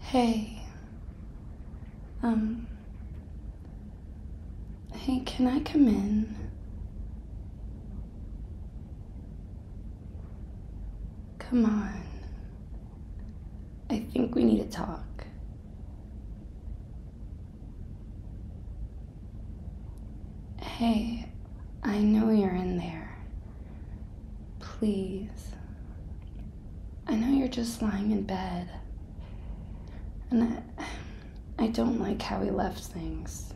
Hey. Um. Hey, can I come in? Come on. I think we need to talk. Hey, I know you're in there. Please. I know you're just lying in bed. And I, don't like how we left things.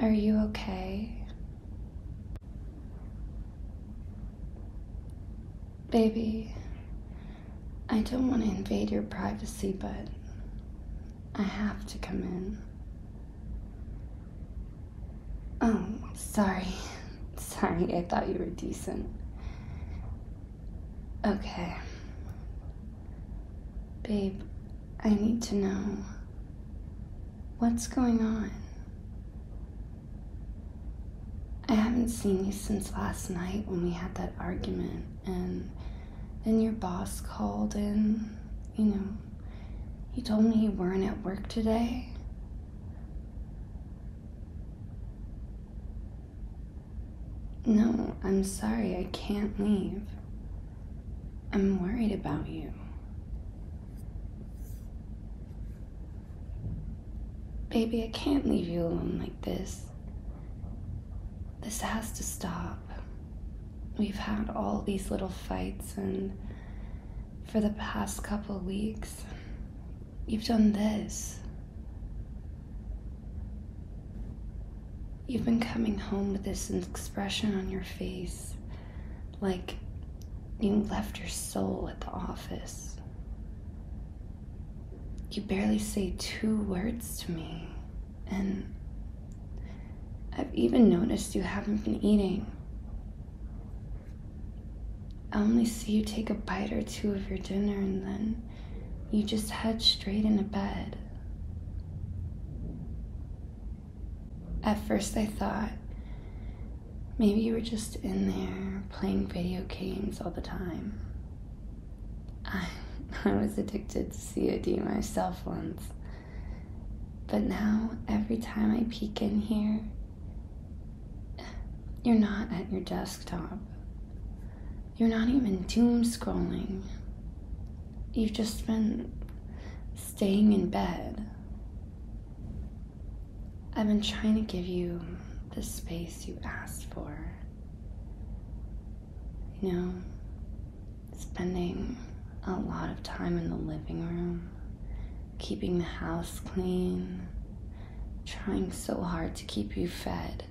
Are you okay? Baby, I don't want to invade your privacy, but I have to come in. Oh, sorry. Sorry, I thought you were decent. Okay. Babe, I need to know what's going on. I haven't seen you since last night when we had that argument, and then your boss called in, you know, um, you told me you weren't at work today. No, I'm sorry, I can't leave. I'm worried about you. Baby, I can't leave you alone like this. This has to stop. We've had all these little fights, and for the past couple weeks, you've done this. You've been coming home with this expression on your face, like you left your soul at the office. You barely say two words to me. And I've even noticed you haven't been eating. I only see you take a bite or two of your dinner and then you just head straight into bed. At first, I thought maybe you were just in there playing video games all the time. I, I was addicted to COD myself once. But now, every time I peek in here, you're not at your desktop. You're not even doom scrolling. You've just been staying in bed. I've been trying to give you the space you asked for. You know, spending a lot of time in the living room, keeping the house clean, trying so hard to keep you fed.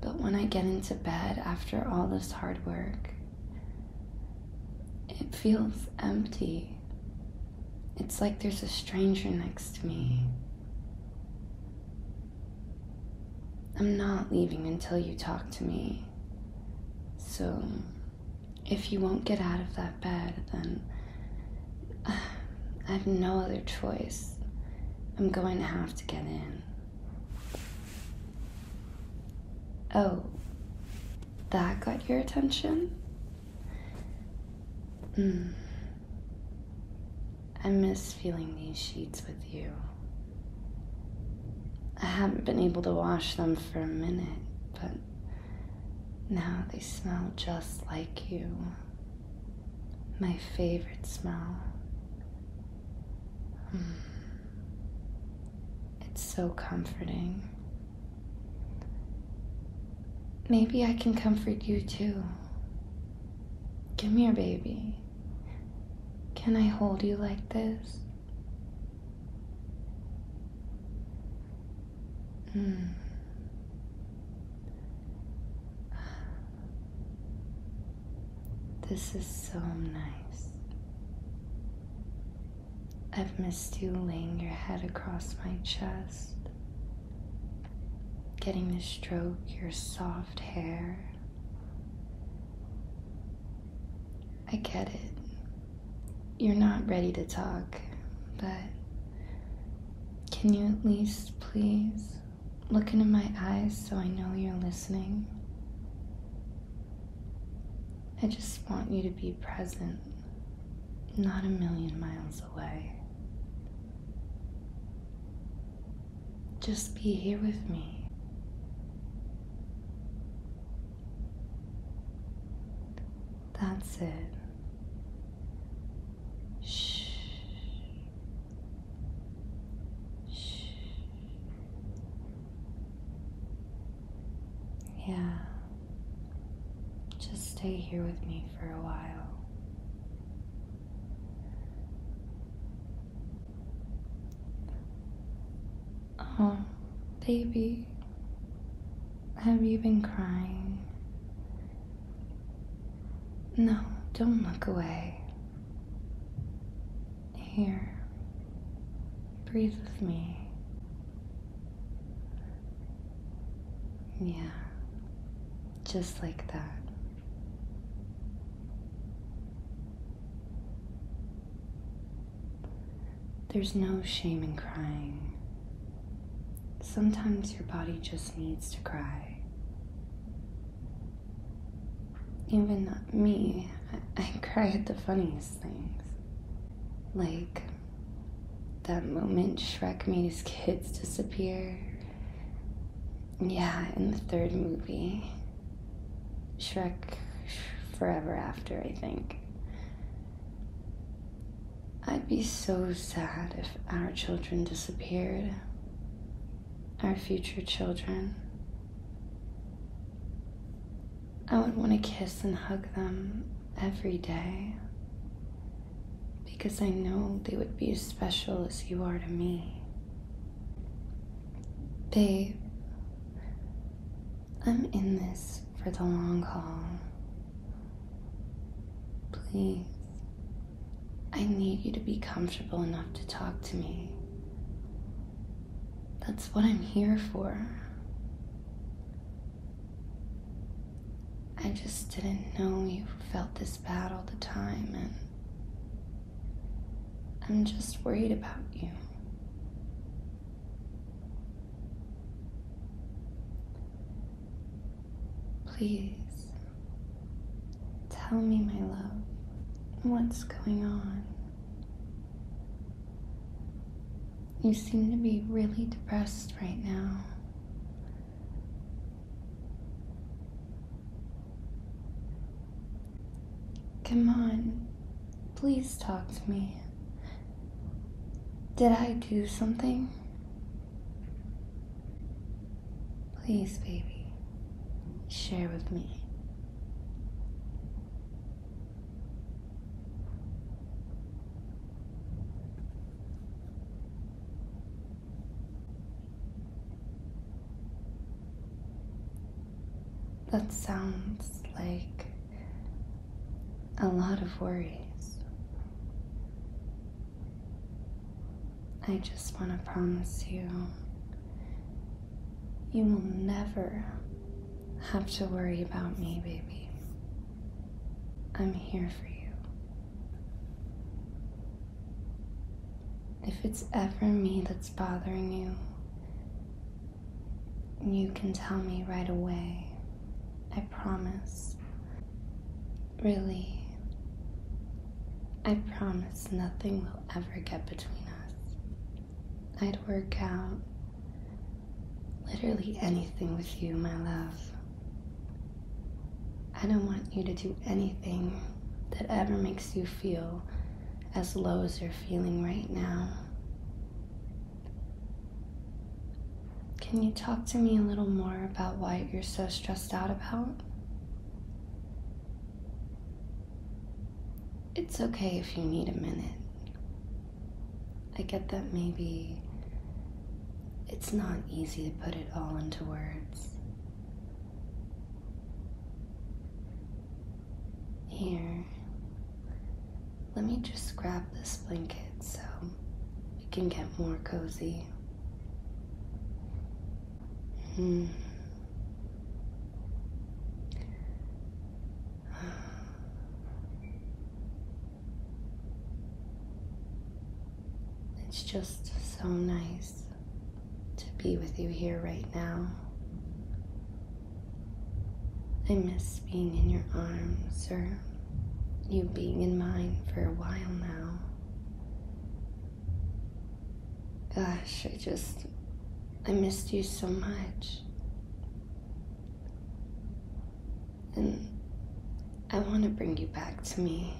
But when I get into bed after all this hard work, it feels empty. It's like there's a stranger next to me. I'm not leaving until you talk to me. So, if you won't get out of that bed, then I have no other choice. I'm going to have to get in. Oh, that got your attention? Mm. I miss feeling these sheets with you. I haven't been able to wash them for a minute, but now they smell just like you. My favorite smell. Hmm. It's so comforting. Maybe I can comfort you too. Give me your baby. Can I hold you like this? Hmm. This is so nice. I've missed you laying your head across my chest, getting to stroke your soft hair I get it. You're not ready to talk, but can you at least please look into my eyes so I know you're listening? I just want you to be present, not a million miles away. Just be here with me. That's it. Shh. Shh. Yeah. Just stay here with me for a while. Oh, baby, have you been crying? No, don't look away. Here, breathe with me. Yeah, just like that. There's no shame in crying. Sometimes your body just needs to cry. Even me, I, I cry at the funniest things. Like that moment Shrek made his kids disappear yeah, in the third movie. Shrek Forever After, I think. I'd be so sad if our children disappeared. Our future children. I would want to kiss and hug them every day because I know they would be as special as you are to me. Babe, I'm in this for the long haul. Please, I need you to be comfortable enough to talk to me. That's what I'm here for. I just didn't know you felt this bad all the time, and I'm just worried about you. Please tell me, my love, what's going on. You seem to be really depressed right now. Come on, please talk to me. Did I do something? Please, baby, share with me. That sounds like a lot of worries. I just want to promise you, you will never have to worry about me, baby. I'm here for you. If it's ever me that's bothering you, you can tell me right away. I promise. Really, I promise nothing will ever get between us. I'd work out literally anything with you, my love. I don't want you to do anything that ever makes you feel as low as you're feeling right now. Can you talk to me a little more about what you're so stressed out about? It's okay if you need a minute. I get that maybe it's not easy to put it all into words. Here, let me just grab this blanket so we can get more cozy. Hmm. It's just so nice to be with you here right now. I miss being in your arms or you being in mine for a while now. Gosh, I just, I missed you so much. And I want to bring you back to me.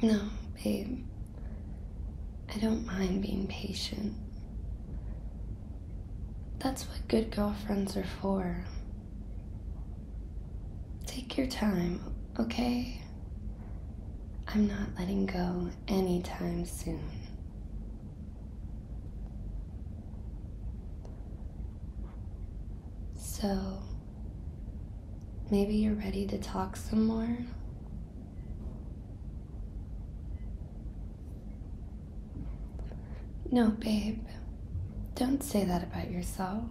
No, babe. I don't mind being patient. That's what good girlfriends are for. Take your time, okay? I'm not letting go anytime soon. So, maybe you're ready to talk some more? No, babe, don't say that about yourself.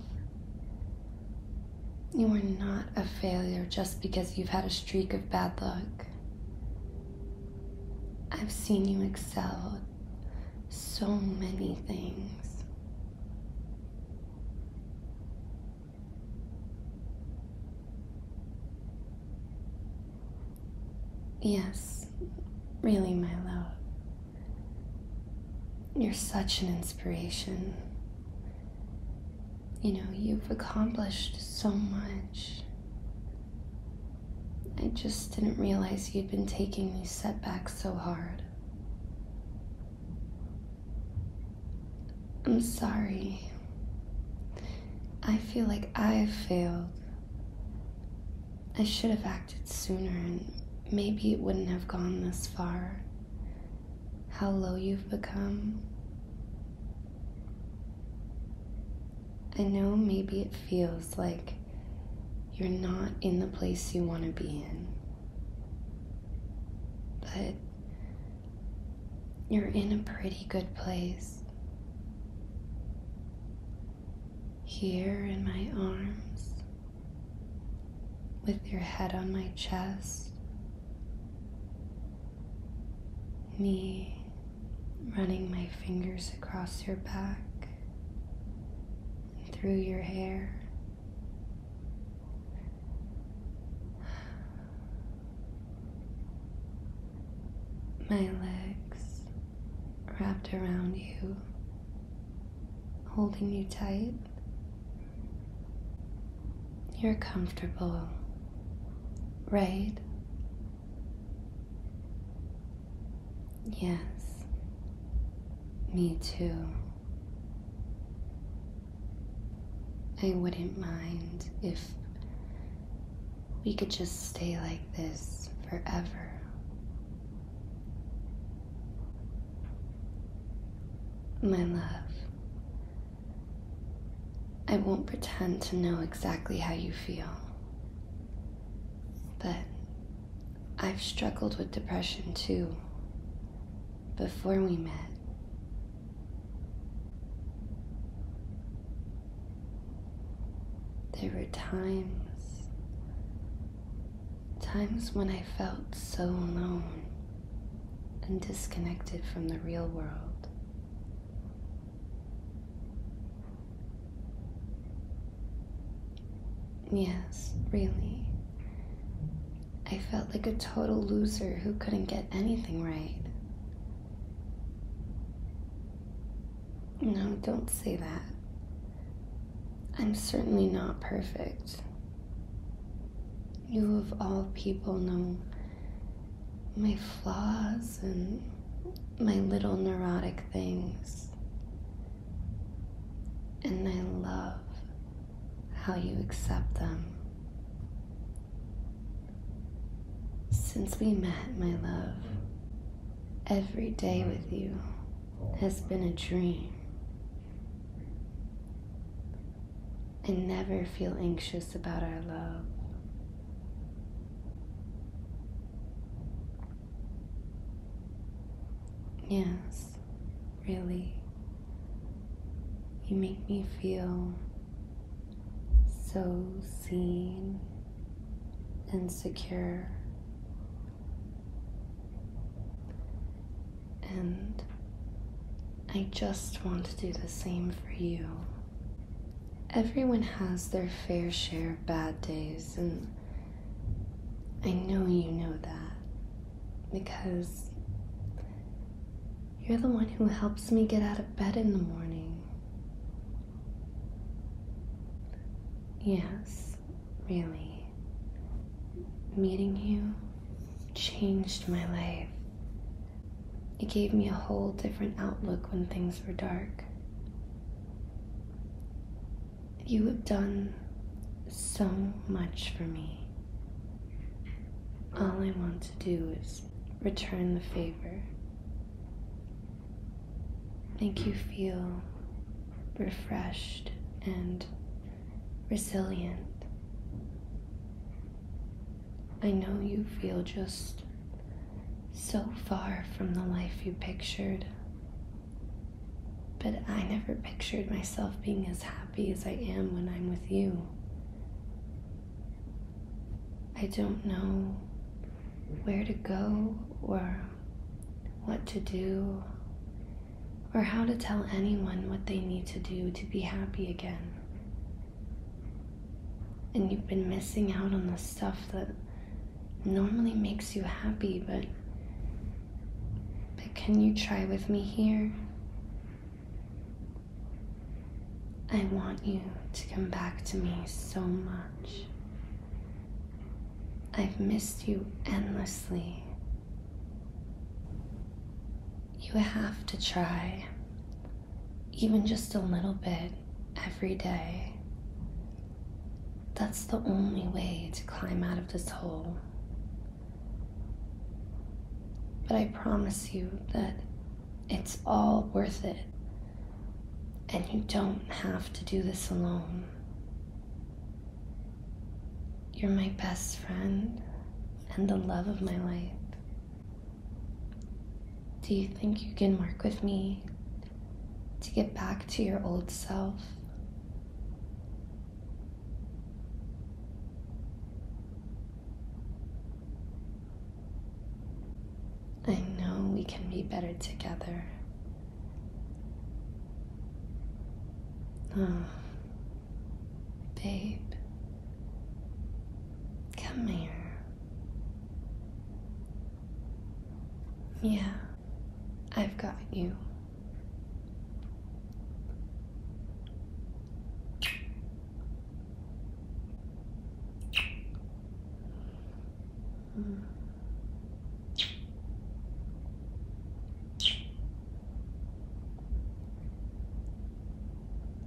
You are not a failure just because you've had a streak of bad luck. I've seen you excel at so many things. Yes, really, my love. You're such an inspiration you know, you've accomplished so much. I just didn't realize you'd been taking these setbacks so hard. I'm sorry. I feel like I've failed. I should have acted sooner and maybe it wouldn't have gone this far how low you've become. I know maybe it feels like you're not in the place you want to be in, but you're in a pretty good place. Here in my arms, with your head on my chest, me running my fingers across your back through your hair. My legs wrapped around you, holding you tight. You're comfortable Right? Yes. Me too. I wouldn't mind if we could just stay like this forever. My love, I won't pretend to know exactly how you feel, but I've struggled with depression too before we met. There were times, times when I felt so alone and disconnected from the real world. Yes, really. I felt like a total loser who couldn't get anything right. No, don't say that. I'm certainly not perfect, you, of all people, know my flaws and my little neurotic things. And I love how you accept them. Since we met, my love, every day with you has been a dream and never feel anxious about our love. Yes, really. You make me feel so seen and secure and I just want to do the same for you. Everyone has their fair share of bad days, and I know you know that because you're the one who helps me get out of bed in the morning. Yes, really. Meeting you changed my life. It gave me a whole different outlook when things were dark. You have done so much for me. All I want to do is return the favor, make you feel refreshed and resilient. I know you feel just so far from the life you pictured, but I never pictured myself being as happy as I am when I'm with you. I don't know where to go or what to do or how to tell anyone what they need to do to be happy again. And you've been missing out on the stuff that normally makes you happy, but but can you try with me here? I want you to come back to me so much. I've missed you endlessly you have to try, even just a little bit every day. That's the only way to climb out of this hole. But I promise you that it's all worth it, and you don't have to do this alone. You're my best friend, and the love of my life. Do you think you can work with me to get back to your old self? I know we can be better together. Oh, Babe, come here. Yeah, I've got you. Mm.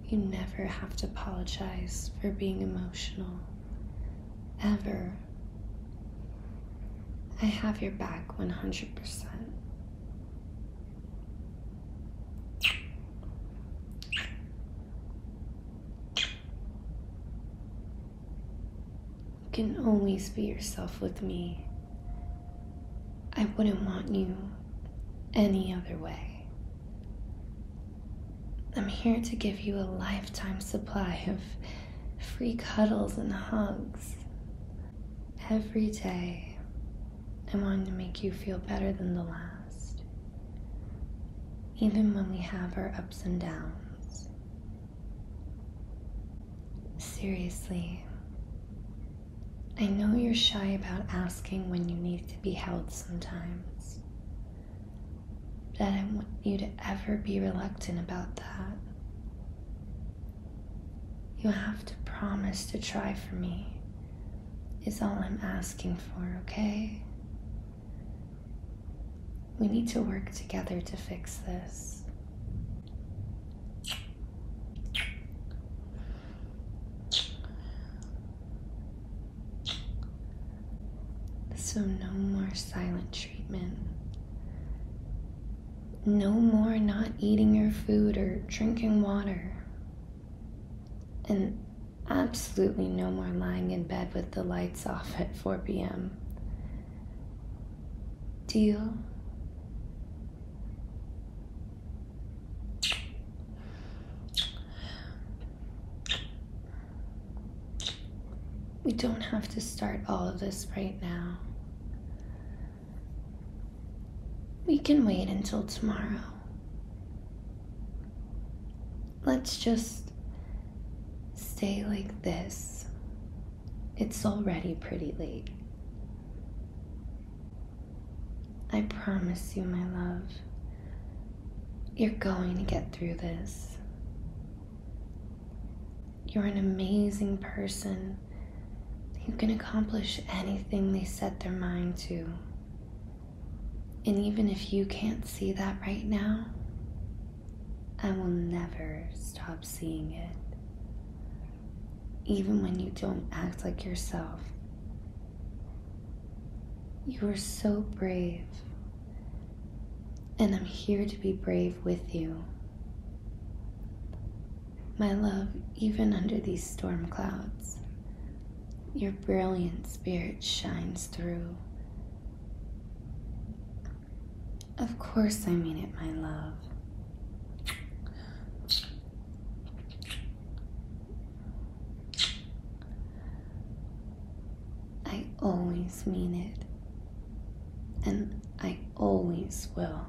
You never have to apologize for being emotional, ever. I have your back 100%. You can always be yourself with me, I wouldn't want you any other way. I'm here to give you a lifetime supply of free cuddles and hugs. Every day, I wanted to make you feel better than the last, even when we have our ups and downs. Seriously, I know you're shy about asking when you need to be held sometimes, but I don't want you to ever be reluctant about that. You have to promise to try for me, is all I'm asking for, okay? We need to work together to fix this. So, no more silent treatment. No more not eating your food or drinking water. And absolutely no more lying in bed with the lights off at 4 p.m. Deal we don't have to start all of this right now. We can wait until tomorrow. Let's just stay like this it's already pretty late. I promise you, my love, you're going to get through this. You're an amazing person You can accomplish anything they set their mind to. And even if you can't see that right now, I will never stop seeing it even when you don't act like yourself. You are so brave, and I'm here to be brave with you. My love, even under these storm clouds, your brilliant spirit shines through. Of course, I mean it, my love. I always mean it, and I always will.